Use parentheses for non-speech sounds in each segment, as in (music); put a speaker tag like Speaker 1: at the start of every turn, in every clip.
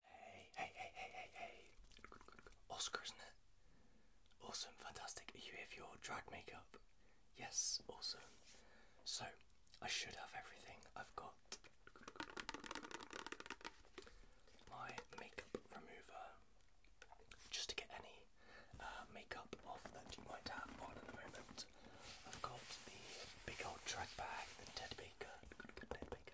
Speaker 1: Hey, hey, hey, hey, hey, hey. isn't it? Awesome, fantastic. you here your drag makeup? Yes, awesome. So, I should have everything. I've got my makeup remover just to get any uh, makeup off that you might have on at the moment. I've got the big old drag bag, the Ted Baker, Ted Baker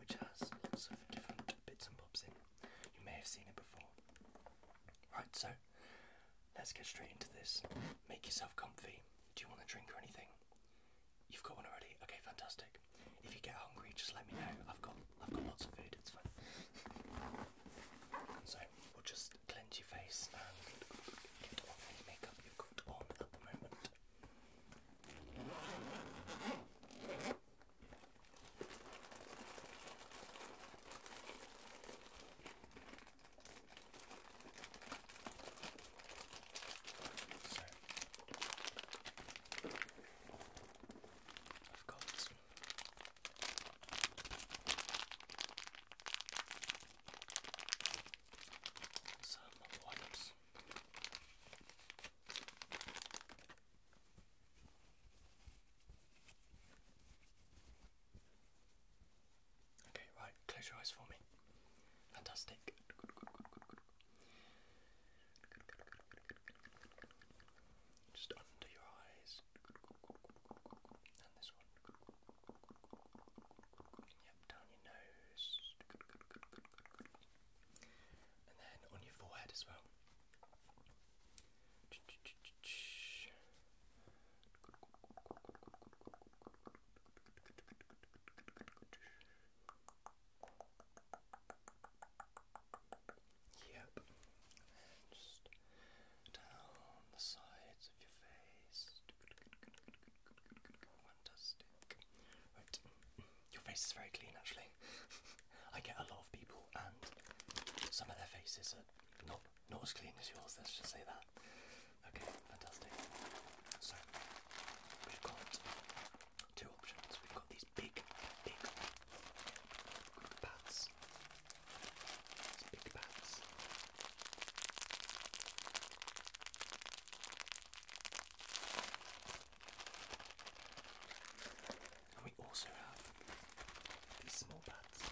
Speaker 1: which has lots of different bits and bobs in. You may have seen it before. Right, so let's get straight into this. Make yourself comfy. Do you want a drink or anything? You've got one already. Okay, fantastic. If you get hungry, just let me know. I've got I've got lots of food. It's fine. (laughs) So we'll just cleanse your face and get off any makeup you've got on at the moment. So, I've got some wipes. Okay, right, close your eyes for me. Fantastic. Just under your eyes. And this one. Yep, down your nose and then on your forehead as well. Yep, just down the sides of your face. Fantastic. Your face is very clean actually. (laughs) I get a lot of people and some of their faces are not not as clean as yours, let's just say that. Okay, fantastic. So we've got two options. We've got these big, big pads. big pads. And we also have these small pads.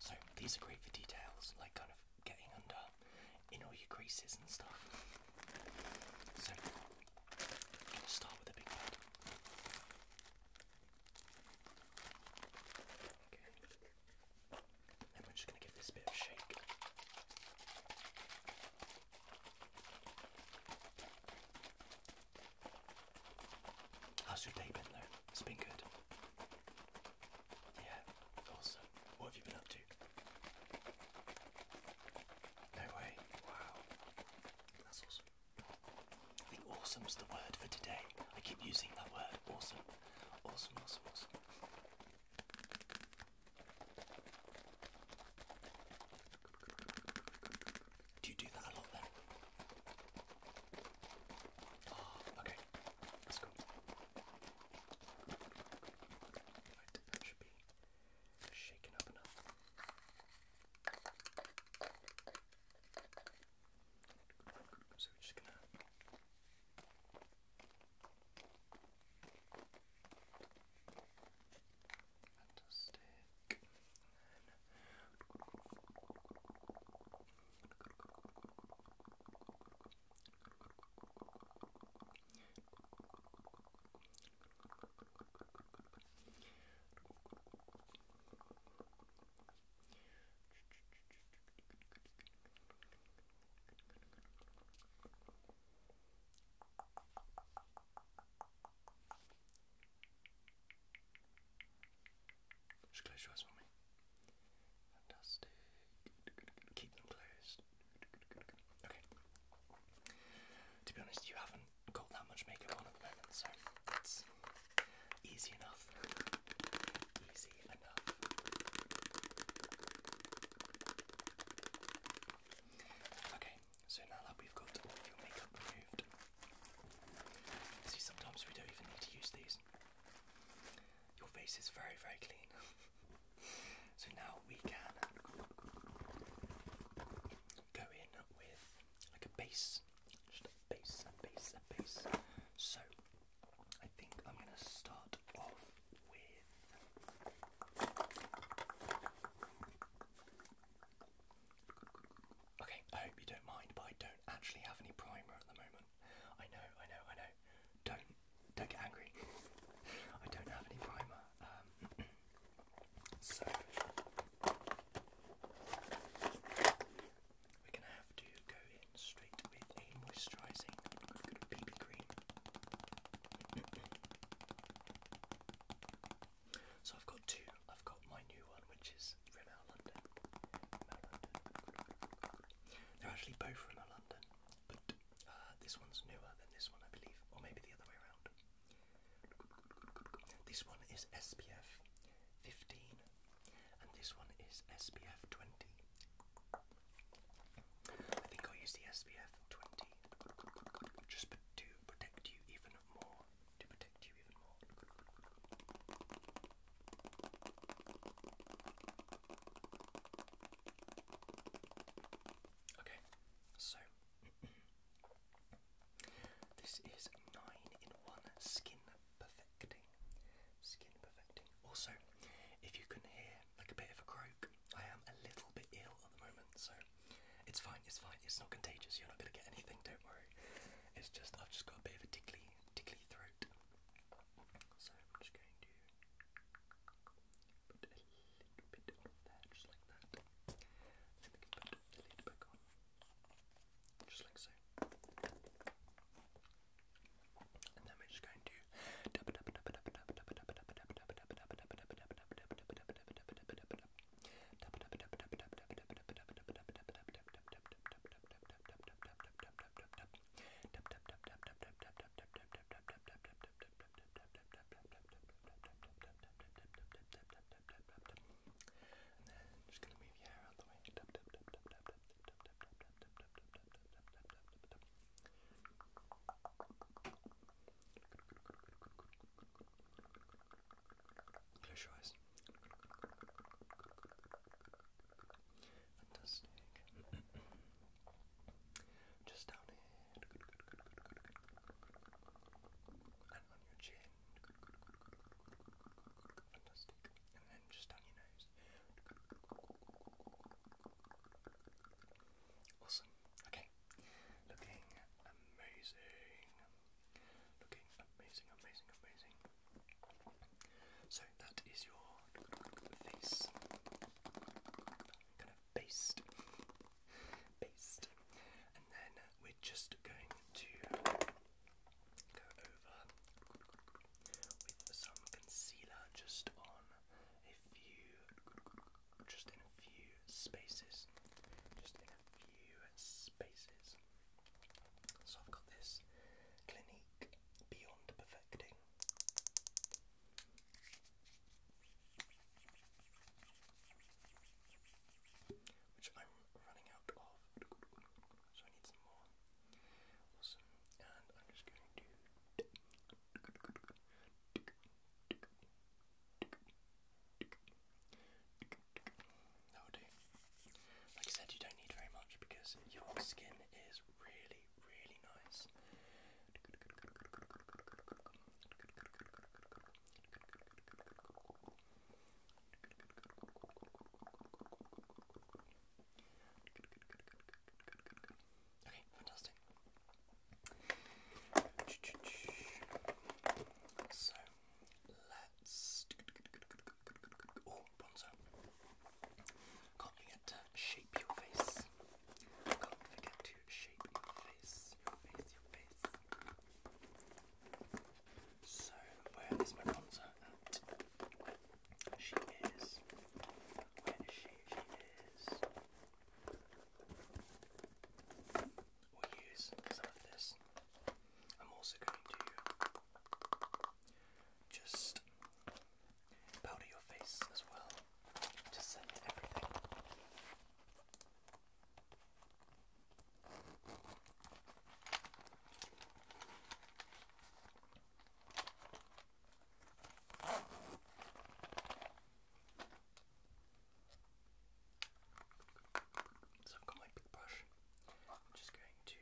Speaker 1: So these are great for details, like kind of getting under in all your creases and stuff. So Let's start with a big one. Okay. Then we're just going to give this bit a shake. How's your day been though? It's been good. Yeah, awesome. What have you been up to? No way. Wow. That's awesome. I think awesome's the word for today. I keep using that word. Awesome. Awesome, awesome, awesome. Do you do that a lot then? Ah, okay. That's cool. Right, that should be shaken up enough. So we're just gonna fantastic. Just close your eyes for me. Fantastic. Keep them closed. Okay. To be honest, you haven't got that much makeup on at the moment, so it's easy enough. Easy enough. Okay, so now that we've got all of your makeup removed, see sometimes we don't even need to use these. Your face is very, very clean. (laughs) so now we can go in with like a base, just a base, a base, a base. So I think I'm going to start off with. Okay, I hope you don't mind, but I don't actually have any primer at the moment. I know, I know, I know. Don't don't get angry. (laughs) I don't have any primer so we're gonna have to go in straight with a moisturising so I've got two. I've got my new one, which is Rimmel London. They're actually both Rimmel London, but uh, this one's newer than this one, I believe, or maybe the other way around. This one is SPF 15 and this one is SPF 20. I think I'll use the SPF 20 just to protect you even more. To protect you even more. Okay, so (clears throat) This is nine in one skin perfecting. Skin perfecting. Also, if you can hear like a bit of a croak, I am a little bit ill at the moment, so it's fine, it's fine, it's not contagious, you're not gonna get anything, don't worry. It's just I've just got a bit of a tickly tickly throat. So I'm just going to put a just like that. Then we can put the lid back on, just like so. And then we're just going to and then I'm just going to move your hair out the way. Close your eyes. Fantastic. (clears throat) Just down here, and on your chin. Fantastic. And then just down your nose. Awesome. Okay. Looking amazing. Looking amazing, amazing, amazing. So that is your face. Kind of based and then we're just going to go over with some concealer just on a few, just in a few spaces, just in a few spaces. So I've got this Clinique Beyond Perfecting which I'm running out of, so I need some more. and I'm just going to. That will do. Like I said, you don't need very much because your skin is really, really nice. Okay, fantastic. So let's oh bronzer. Can't forget to shape your face. Can't forget to shape face, your So, where is my bronzer at? She is. Where is she? She is. We'll use some of this. I'm also going to just powder your face as well. Just send everything. So I've got my big brush. I'm just going to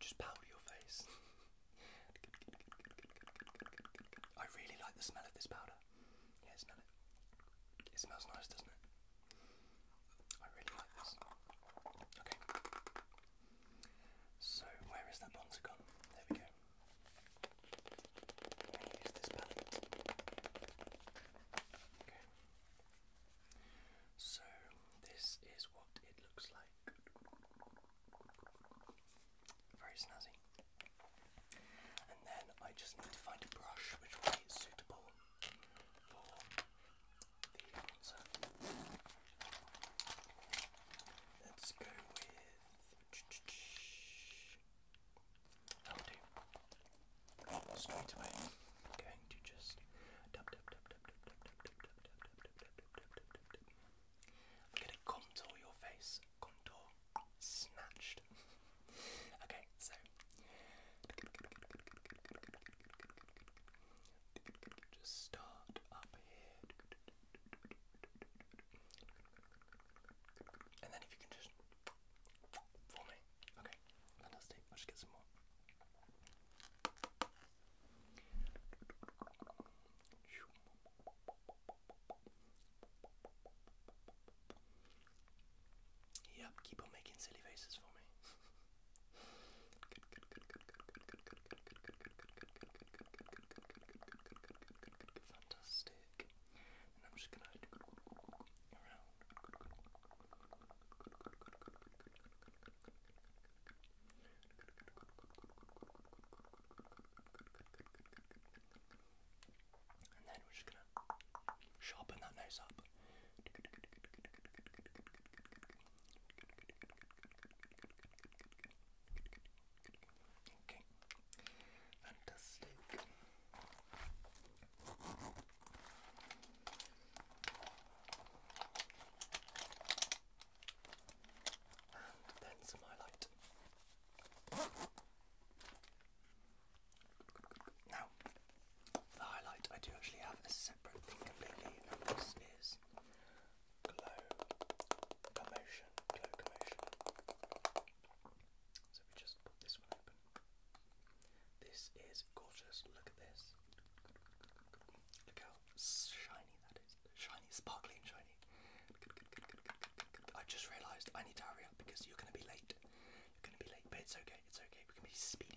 Speaker 1: just powder your face. I really like the smell of this powder. Yeah, smell it. It smells nice, doesn't it? I really like this. Okay. So where is that bonza There we go. Where is this palette? Okay. So this is what it looks like. Very snazzy. And then I just need to find a brush which will be suitable the answer. Let's go with. I'll straight away, I'm going to just. I'm going to contour your face. Contour. Snatched. okay, so just start up here. And then if you can just for me. Okay, fantastic. I'll just get some more. Yep, keep on making silly faces for me. (laughs) Fantastic. And I'm just gonna around. And then we're just gonna sharpen that nose up. Okay, fantastic. And that's my light. Now, the highlight I do actually have a separate thing completely, this is Glow Commotion. Glow Commotion. So we just put this one open. This is gorgeous. Look at this. Look how shiny that is. Shiny, sparkly, and shiny. I just realised I need to hurry up because you're going to be late. You're going to be late, but it's okay. It's okay. We can be speedy.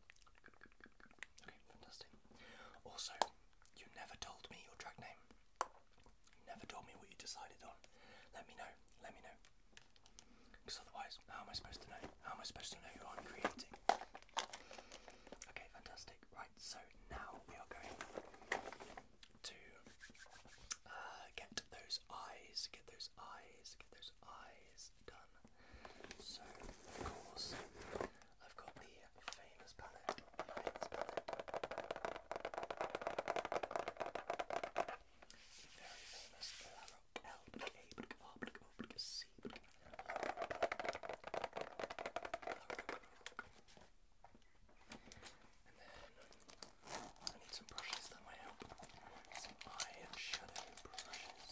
Speaker 1: Okay, fantastic. Also, you never told me your track name. You never told me what you decided on. Let me know. Let me know. Because otherwise, how am I supposed to know? How am I supposed to know who I'm creating? Okay, fantastic. Right, so now we are going to uh, get those eyes, get those eyes, get those eyes is done. So, of course, I've got the famous palette. very famous L K R C. And then I need some brushes that might Some eye shadow brushes.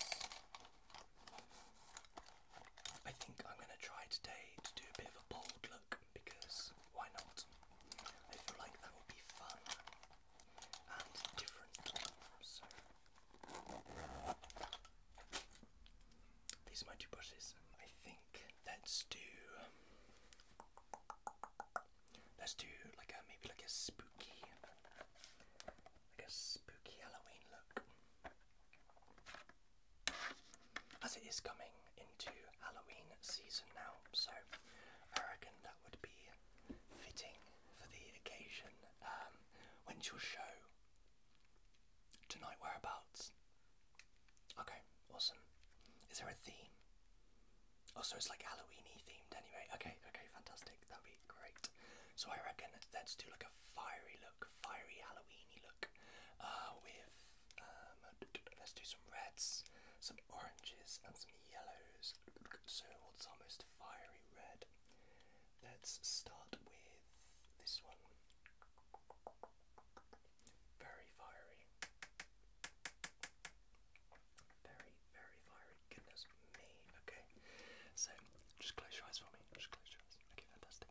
Speaker 1: I think I'm going to try today to do a bit of a bold look because why not? I feel like that will be fun and different. So, these are my two brushes. I think let's do. Let's do like maybe like a spooky like a spooky Halloween look. As it is coming into Halloween season now, so I reckon that would be fitting for the occasion. Um, when's your show? Tonight, whereabouts? Okay, awesome. Is there a theme? Oh, so it's like Halloweeny themed anyway. Okay, okay, fantastic. that will be great. So I reckon let's do like a fiery look, fiery Halloweeny look. Uh, with um, let's do some reds, some oranges, and some yellows. So what's our fiery red? Let's start with this one. Very fiery. Very, very fiery goodness me. Okay. So just close your eyes for me. Just close your eyes. Okay, fantastic.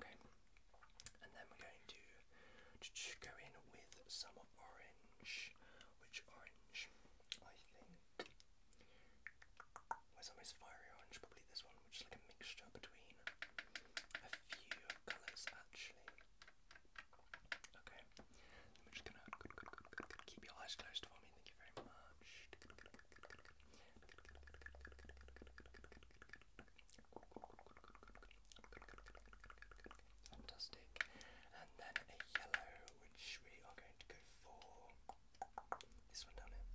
Speaker 1: Thank you. Okay and then we're going to go in with some orange. Which orange? I think. Where's our fiery orange? Probably this one, which is like a mixture between a few colours actually. Okay, I'm just gonna keep your eyes closed for me. Thank you very much. Fantastic. And then a yellow, which we are going to go for this one down here.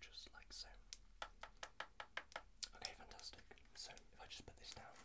Speaker 1: Just like so. Okay, fantastic. So if I just put this down,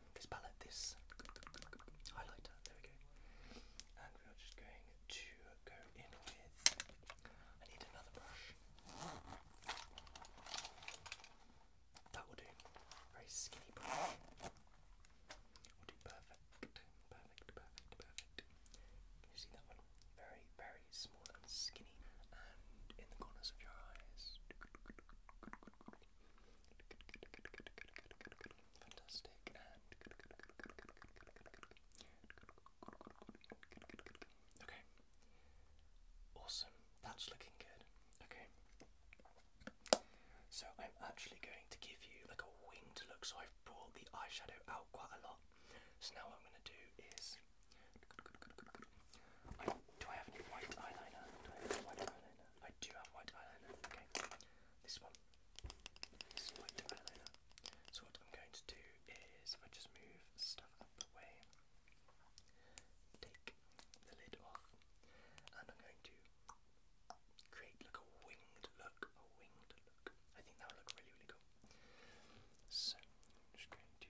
Speaker 1: this palette, this highlighter. There we go. And we are just going to go in with. I need another brush. That will do. Very skinny brush. Will do perfect. Perfect. Perfect. Perfect. Can you see that one? Very, very small and skinny, and in the corners of your eyes okay. Awesome. That's looking good. Okay. So I'm actually going to give you like a winged look. So I've brought the eyeshadow out quite a lot. So now what I'm going to do is. I, Do I have any white eyeliner? I do have white eyeliner. Okay, this one. This is white eyeliner. So what I'm going to do is I just move stuff out the way, take the lid off, and I'm going to create like a winged look, a winged look. I think that would look really, really cool. So just going to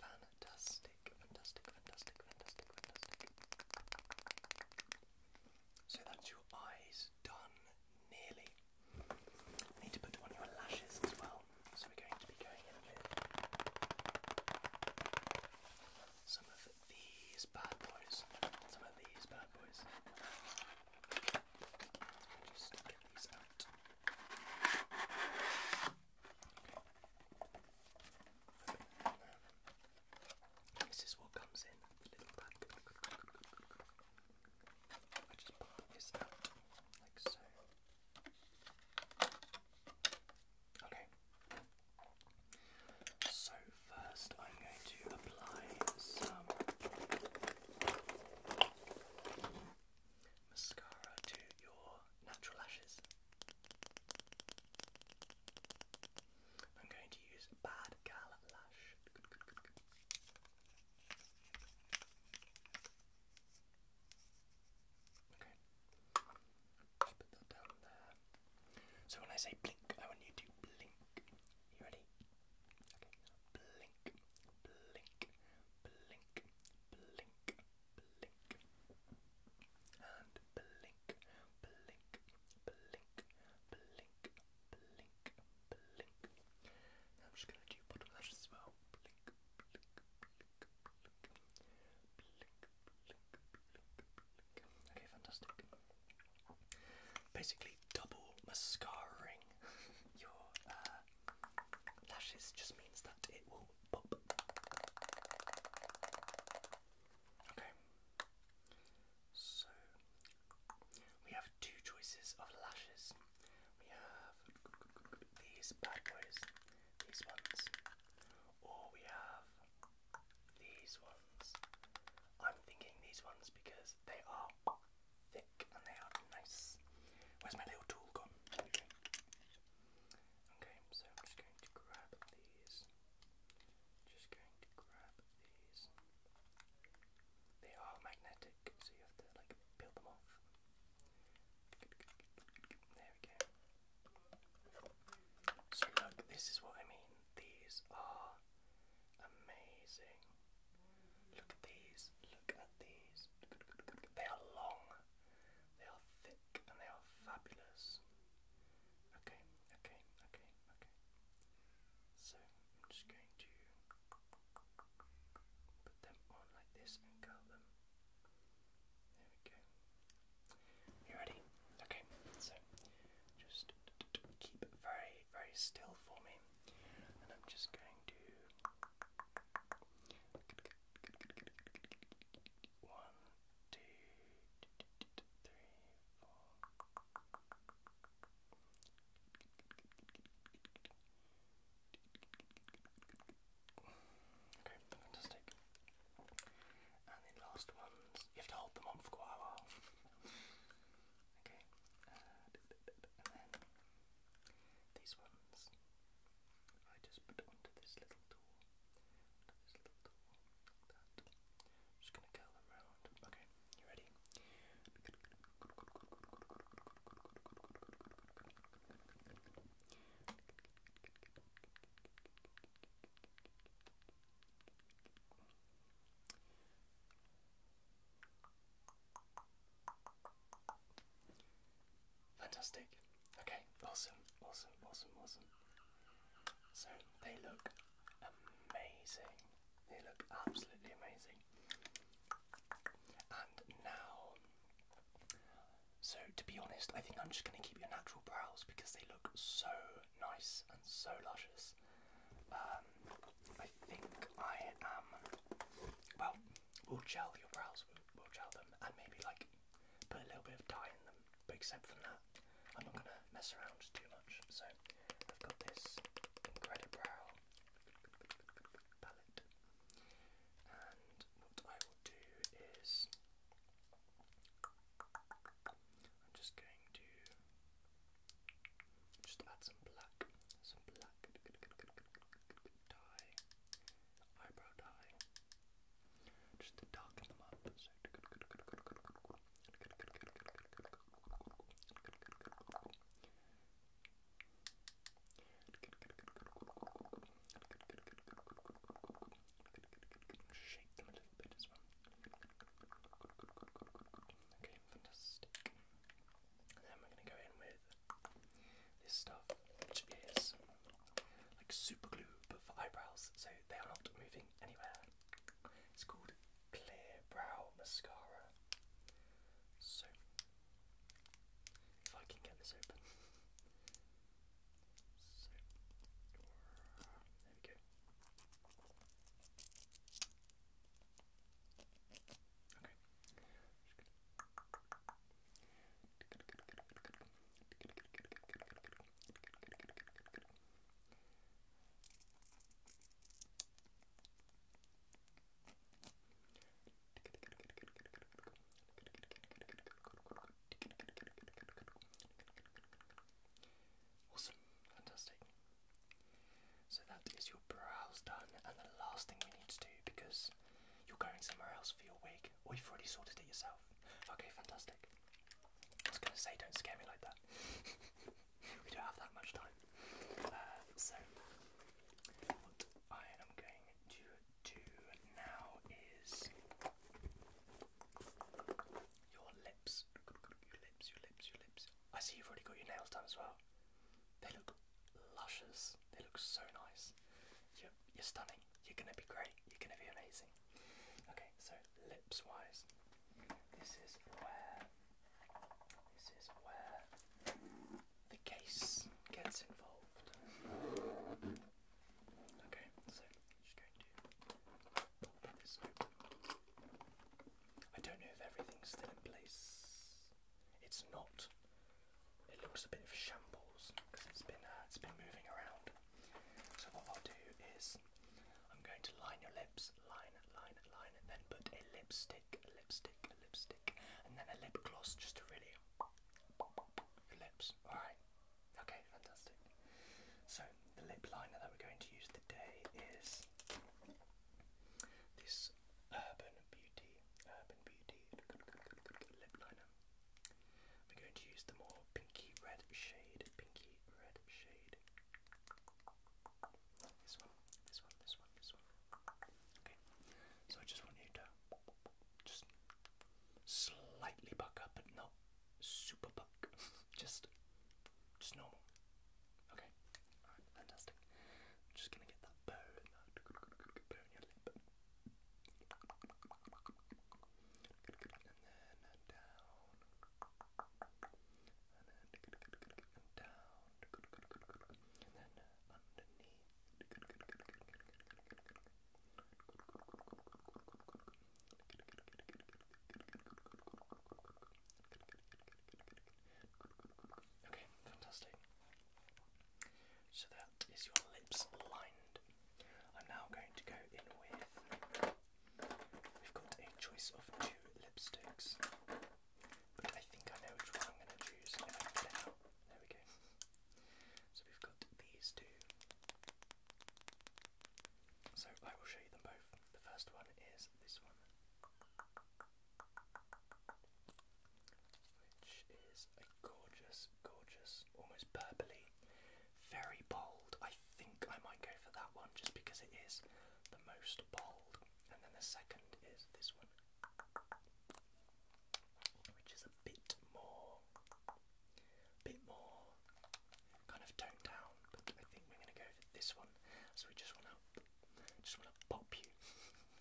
Speaker 1: Fantastic, fantastic, fantastic, fantastic, So that's your eyes done nearly. need to put on your lashes as well. So we're going to be going in with some of these bad boys. Some of these bad boys. Just get these out. This is what comes in the little bag. I just pop this out like so. Okay. So first I'm going to apply some mascara to your natural lashes. I'm going to use Bad Gal Lash. Okay. So when I say blink, I want you to blink. You ready? Okay. Blink blink, blink, blink, blink, and blink, blink, blink, blink, blink, blink. I'm just gonna do bottom lash as well. Okay, fantastic. Basically, double mascaring (laughs) your uh, Lashes just means that it will pop. Okay. So we have two choices of lashes. We have these bad boys, these ones, or we have these ones. I'm thinking these ones because they are thick and they are nice. Where's my little tool gone? Okay. so I'm just going to grab these. Just going to grab these. They are magnetic, so you have to like peel them off. There we go. So look, this is what I mean. These are amazing. Look at these. Look at these. They are long. They are thick and they are fabulous. Okay, okay, okay, okay. So I'm just going to put them on like this and curl them. There we go. You ready? Okay, so just keep very, very still for me. And I'm just going to one, two, three, four. Okay, fantastic. And the last ones, you have to hold them on for quite a while. okay, and then these ones. I just put onto this this little tool, just gonna curl them Okay, you ready? Fantastic. Okay, awesome, awesome, awesome, awesome. So they look amazing. They look absolutely amazing. And now, so to be honest, I think I'm just going to keep your natural brows because they look so nice and so luscious. Um, I think I am. Well, we will gel your brows, we'll gel them, and maybe like put a little bit of dye in them. But except from that, I'm not gonna mess around too much. So I've got this Incredibrow palette, and what I will do is I'm just going to just add some black, some black dye, eyebrow dye, just to darken them up. Shake them a little bit as well. Okay, fantastic then we're going to go in with this stuff, which is like super glue but for eyebrows, so they are not moving anywhere. It's called Clear Brow Mascara. So, if I can get this open. So, there we go. Okay. Awesome, fantastic. So that is your brows done, and the last thing we need to do because you're going somewhere else for your wig, or you've already sorted it yourself. Okay, fantastic. I was going to say, don't scare me like that. (laughs) we don't have that much time. Uh, so, what I am going to do now is your lips. Your lips, your lips, your lips. I see you've already got your nails done as well. They look luscious. They look so nice. You're, you're stunning. You're gonna be great. You're gonna be amazing. Okay, so lips wise, this is where this is where the case gets involved. Okay, so I'm just going to I don't know if everything's still in place. It's not it looks a bit of shambles because it's been uh, it's been moving around. So what I'll do is I'm going to line your lips, line, line, line, and then put a lipstick, lipstick, lipstick, and then a lip gloss just to really your lips. All right. Okay, fantastic. So the lip liner that we're going to use today is this Urban Beauty, Urban Beauty lip liner. We're going to use the more pinky red shade, pinky red shade. This one, this one, this one, this one. Okay, so I just want you to just slightly buck up, but not super buck. (laughs) just, just normal. Okay, fantastic. I'm just gonna get that bone out. your lip. And then down. And then down. And then underneath. Okay, fantastic. So that is your lips lined. I'm now going to go in with. We've got a choice of two lipsticks, but I think I know which one I'm going to choose There we go. So we've got these two. So I will show you them both. The first one is this one which is a gorgeous, gorgeous, almost purpley, very bold. I think I might go for that one just because it is the most bold. And then the second is this one, which is a bit more, bit more kind of toned down. But I think we're going to go for this one. So we just want to, just want to pop you. (laughs)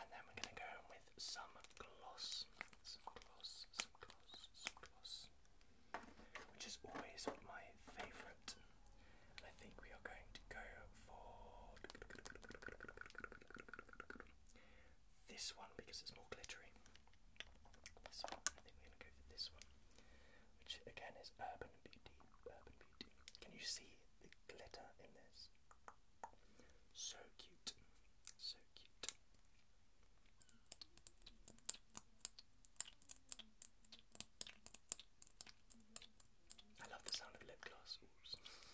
Speaker 1: And then we're going to go with some gloss. Which is always my favourite. I think we are going to go for this one because it's more glittery. This I think we're going to go for this one. Which again is Urban Beauty. Can you see the glitter in this? So cute. So cute. I love the sound of lip gloss.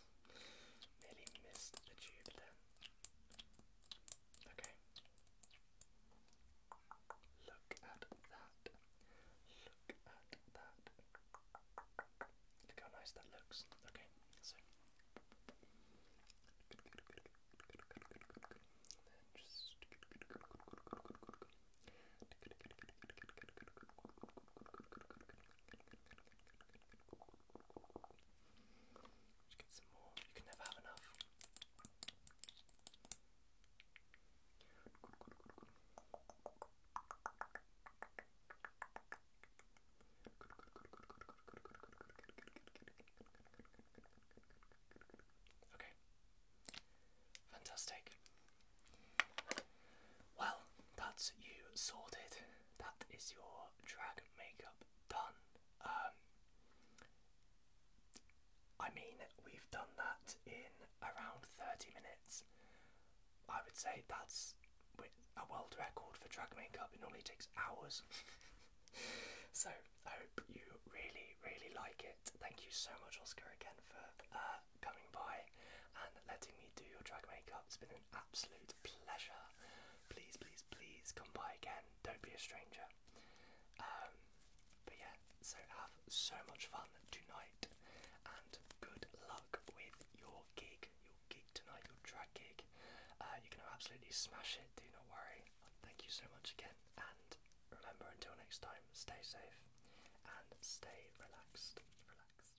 Speaker 1: (laughs) Nearly missed the tube there. Okay. Look at that. Look at that. Look how nice that looks. Okay, so then just just get some more. You can never have enough. Good, good, good, good. Okay. Fantastic. Well, that's you sorted. That is your drag makeup done. Um, I mean, we've done that in around 30 minutes. I would say that's a world record for drag makeup. It normally takes hours. (laughs) so I hope you really, really like it. Thank you so much, Oscar, again for uh, coming by and letting me do your drag makeup. It's been an absolute pleasure. Please, please, please come by again. Don't be a stranger. Um, but yeah, so have so much fun tonight and good luck with your gig, tonight, your drag gig. Uh, you're going to absolutely smash it, do not worry. Thank you so much again, and remember until next time, stay safe and stay relaxed. Relaxed, relaxed.